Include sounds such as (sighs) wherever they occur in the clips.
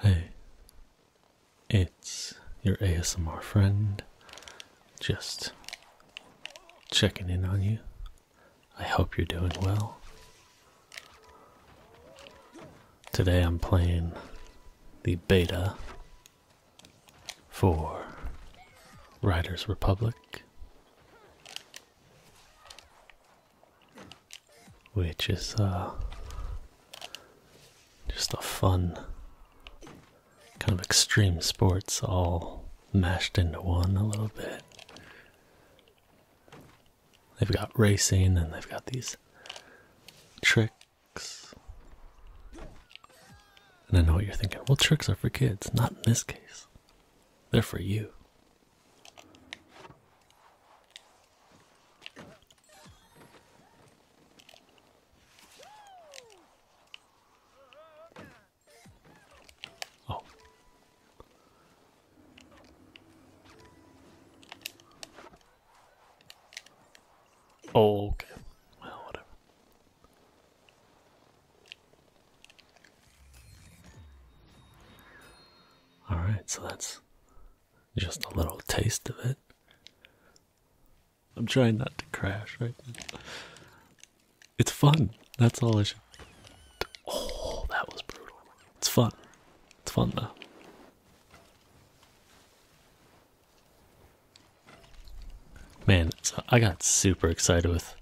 Hey, it's your ASMR friend. Just checking in on you. I hope you're doing well. Today I'm playing the beta for Riders Republic which is uh, just a fun kind of extreme sports all mashed into one a little bit. They've got racing and they've got these tricks. And I know what you're thinking. Well, tricks are for kids, not in this case. They're for you. Oh. oh. okay. Well, whatever. All right, so that's just a little taste of it. I'm trying not to crash right now. It's fun. That's all I should. Oh, that was brutal. It's fun. It's fun though. Man, I got super excited with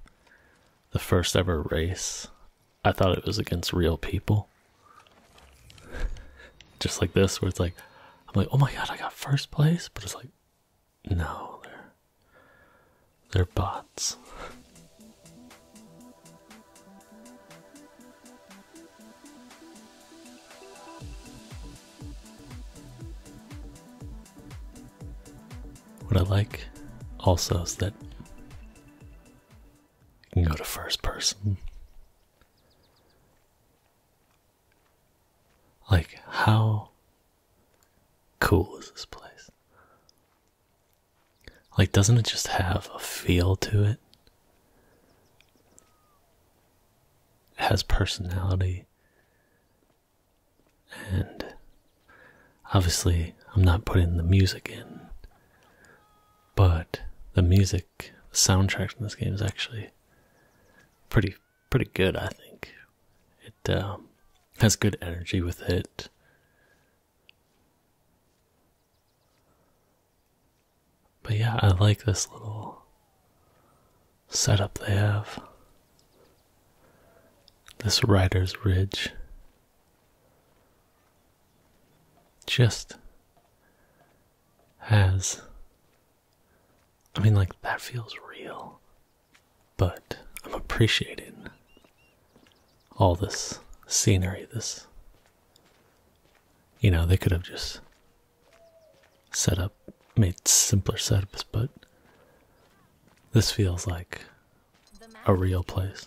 the first ever race I thought it was against real people. (laughs) Just like this, where it's like, I'm like, oh my god, I got first place, but it's like, no, they're they're bots. what I like also is that you can go to first person like, how cool is this place? Like, doesn't it just have a feel to it? It has personality. And obviously, I'm not putting the music in, but the music the soundtrack in this game is actually pretty pretty good. I think it um, has good energy with it. But yeah, I like this little setup they have. This Rider's Ridge just has. I mean, like, that feels real, but I'm appreciating all this scenery, this. You know, they could have just set up, made simpler setups, but this feels like a real place.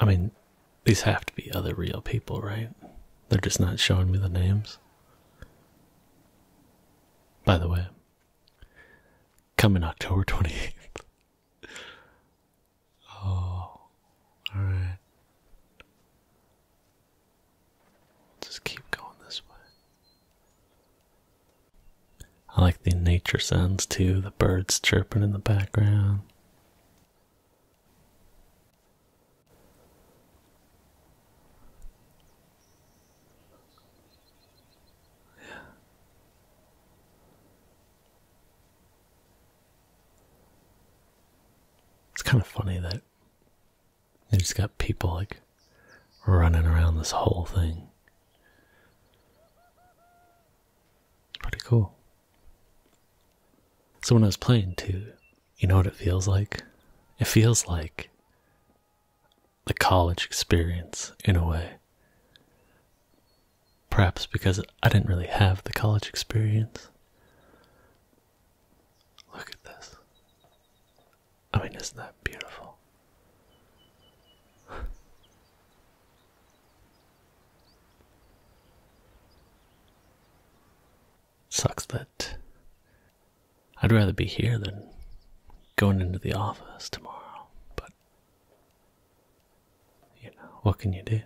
I mean, these have to be other real people, right? They're just not showing me the names. By the way, coming October 28th. (laughs) Oh, alright. Just keep going this way. I like the nature sounds too, the birds chirping in the background. Yeah. It's kind of funny that you just got people like running around this whole thing. Pretty cool. So when I was playing too, you know what it feels like? It feels like the college experience in a way. Perhaps because I didn't really have the college experience. Look at this. I mean, isn't that beautiful? (laughs) Sucks that I'd rather be here than going into the office tomorrow, but you know, what can you do?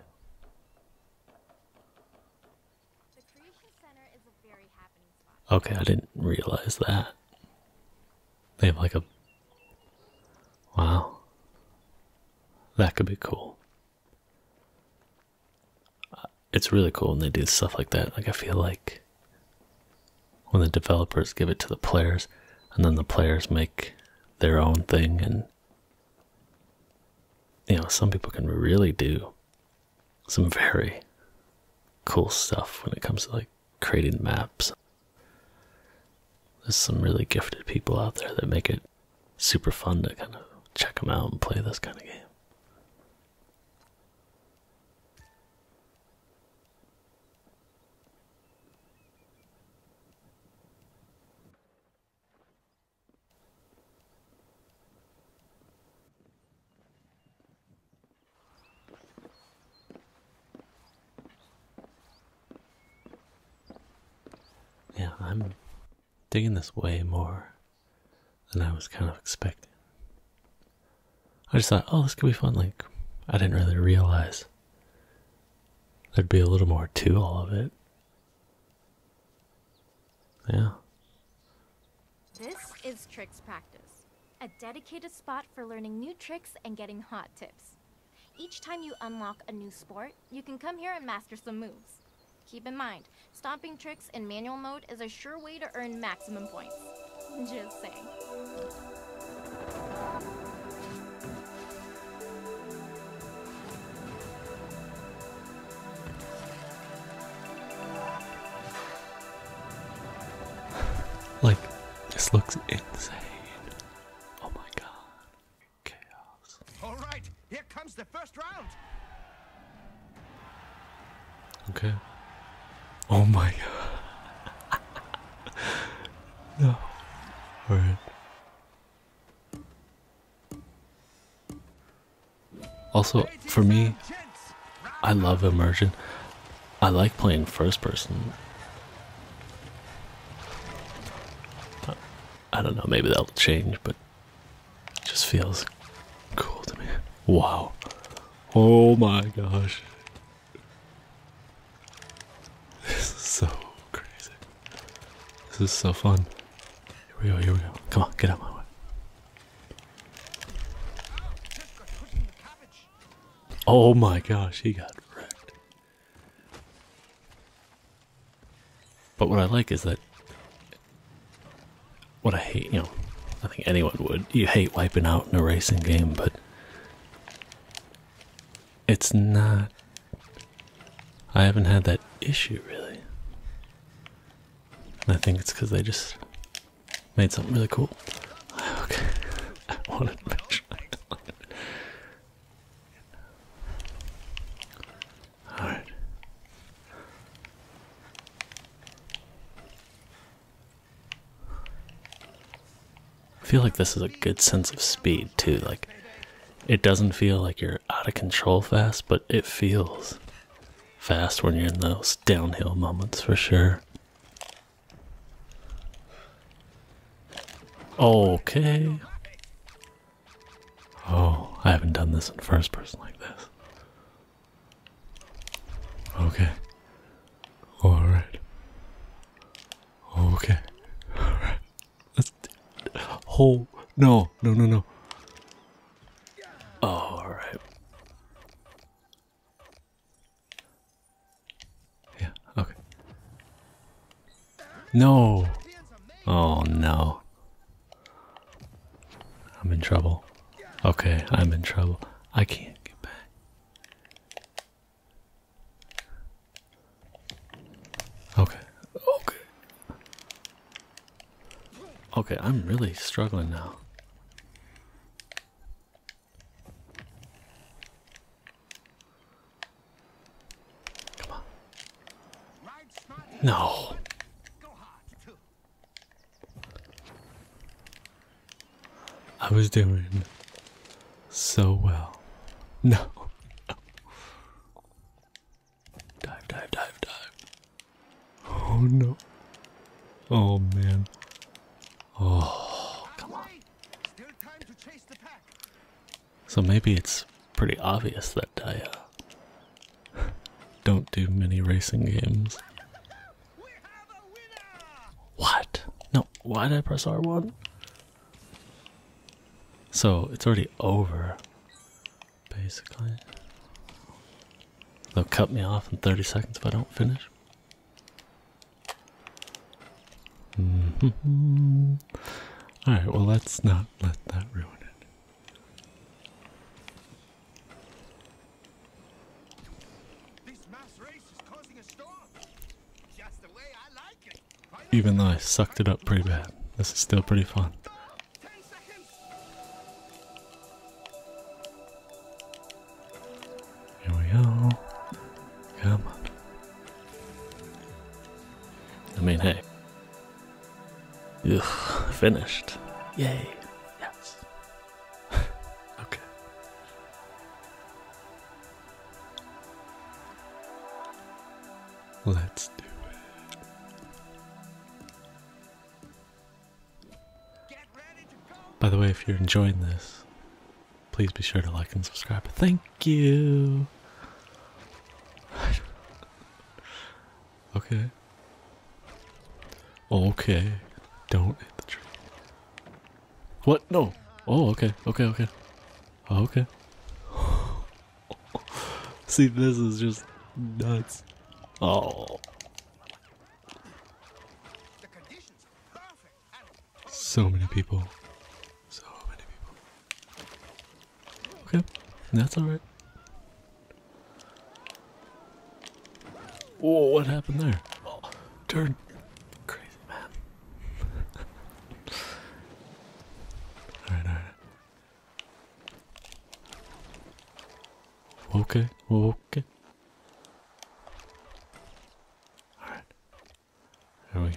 Okay, I didn't realize that. They have like a. Wow. That could be cool. Uh, it's really cool when they do stuff like that. Like, I feel like when the developers give it to the players and then the players make their own thing, and you know, some people can really do some very cool stuff when it comes to like creating maps. There's some really gifted people out there that make it super fun to kind of check them out and play this kind of game. Yeah, I'm digging this way more than I was kind of expecting. I just thought, oh, this could be fun. Like, I didn't really realize there'd be a little more to all of it. Yeah. This is tricks practice, a dedicated spot for learning new tricks and getting hot tips. Each time you unlock a new sport, you can come here and master some moves. Keep in mind, stomping tricks in manual mode is a sure way to earn maximum points. Just say like, this looks insane. Oh my god. Chaos. Alright, here comes the first round. Okay. Oh my god. (laughs) no. Alright. Also, for me, I love immersion. I like playing first person. I don't know, maybe that'll change, but it just feels cool to me. Wow. Oh my gosh. This is so crazy. This is so fun. Here we go, here we go. Come on, get out of my way. Oh my gosh, he got wrecked. But what I like is that what I hate, you know, I think anyone would. You hate wiping out in a racing game, but it's not. I haven't had that issue really. And I think it's because they just made something really cool. (sighs) Okay, (laughs) I wanted to Alright. I feel like this is a good sense of speed too. Like, it doesn't feel like you're out of control fast, but it feels fast when you're in those downhill moments for sure. Okay. Oh, I haven't done this in first person like this. Okay. Alright. Okay. Let's. Oh, no, no, no, no. Alright. Yeah, okay. No! Oh no. I'm in trouble. Okay, I'm in trouble. I can't get back. Okay, okay. Okay, I'm really struggling now. Come on. No. I was doing so well. No. dive, dive, dive, dive. Oh no. Oh man. Oh, come on. So maybe it's pretty obvious that I uh, (laughs) don't do many racing games. What? No, why did I press R1? So it's already over, basically. They'll cut me off in 30 seconds if I don't finish. Mm-hmm. All right, well, let's not let that ruin it. Even though I sucked it up pretty bad, this is still pretty fun. Here we go. Come on. I mean, hey. Ugh, finished. Yay. Yes. (laughs) okay. Let's do it. By the way, if you're enjoying this, please be sure to like and subscribe. Thank you. (laughs) okay. Okay. Don't hit the tree. What? No. Oh, okay. Okay, okay. Oh, okay. (laughs) See, this is just nuts. Oh. So many people. Okay, that's alright. Whoa, what happened there? turn. Crazy man. (laughs) Okay, Okay. Alright. There we go.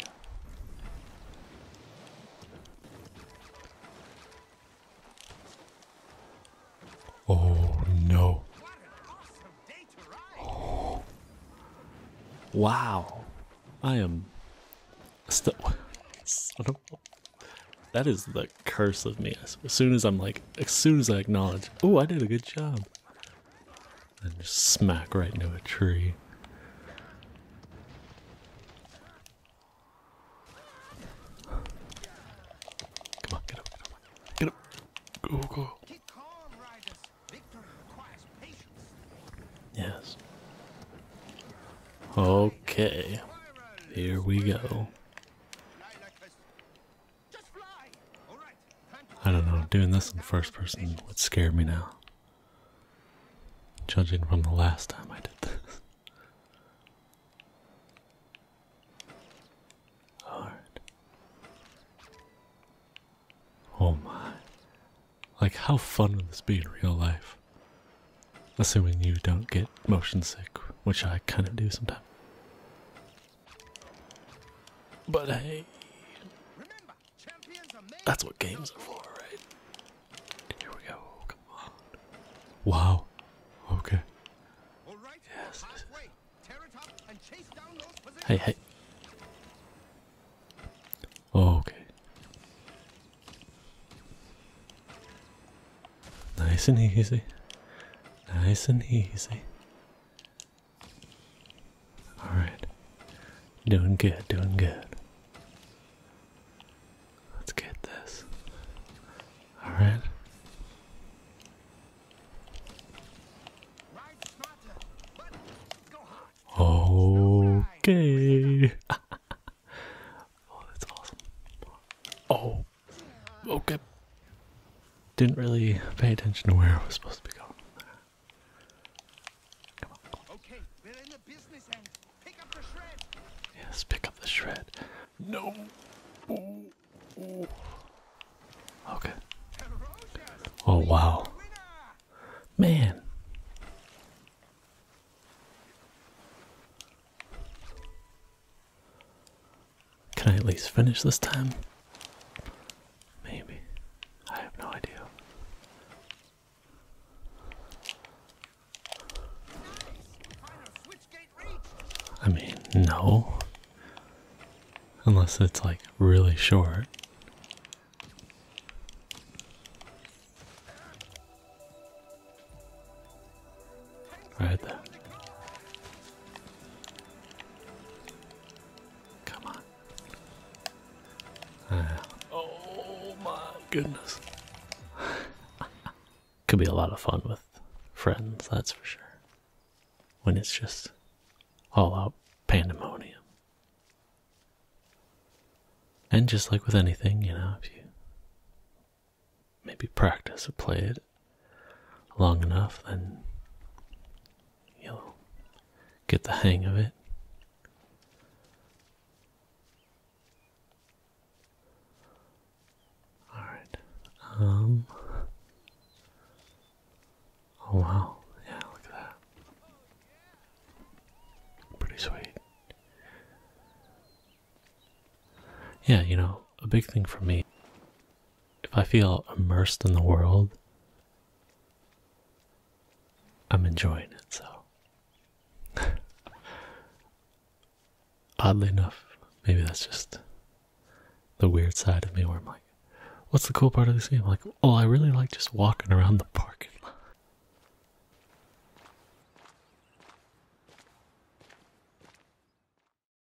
Oh no. Wow. I am still. That is the curse of me. As soon as I'm like, as soon as I acknowledge, oh, I did a good job, and just smack right into a tree. Come on, get up, get up, Go, go. Yes. Okay. Here we go. I don't know, doing this in first person would scare me now. Judging from the last time I did this. Alright. Oh my. Like, how fun would this be in real life? Assuming you don't get motion sick, which I kind of do sometimes. But hey, that's what games are for, right? here we go. Come on. Wow. Okay. Yes. Hey, hey. okay. Nice and easy. Nice and easy. Alright. Doing good, doing good. Let's get this. Alright. Okay. (laughs) oh, that's awesome. Oh woke up. Didn't really pay attention to where I was supposed to be going. Okay, we're in the business end. Pick up the shred. Yes, pick up the shred. No. Okay. Oh wow. Man. Can I at least finish this time? Maybe. I have no idea. I mean, no. Unless it's like really short. Right there. Come on. Ah. oh my goodness. (laughs) Could be a lot of fun with friends, that's for sure. When it's just all out pandemonium. And just like with anything, you know, if you maybe practice or play it, long enough, then you'll get the hang of it. All right. Um, oh wow! Yeah, look at that. Pretty sweet. Yeah, you know, a big thing for me if I feel immersed in the world, I'm enjoying it. So, (laughs) oddly enough, maybe that's just the weird side of me where I'm like, what's the cool part of this game? I'm like, oh, I really like just walking around the parking lot.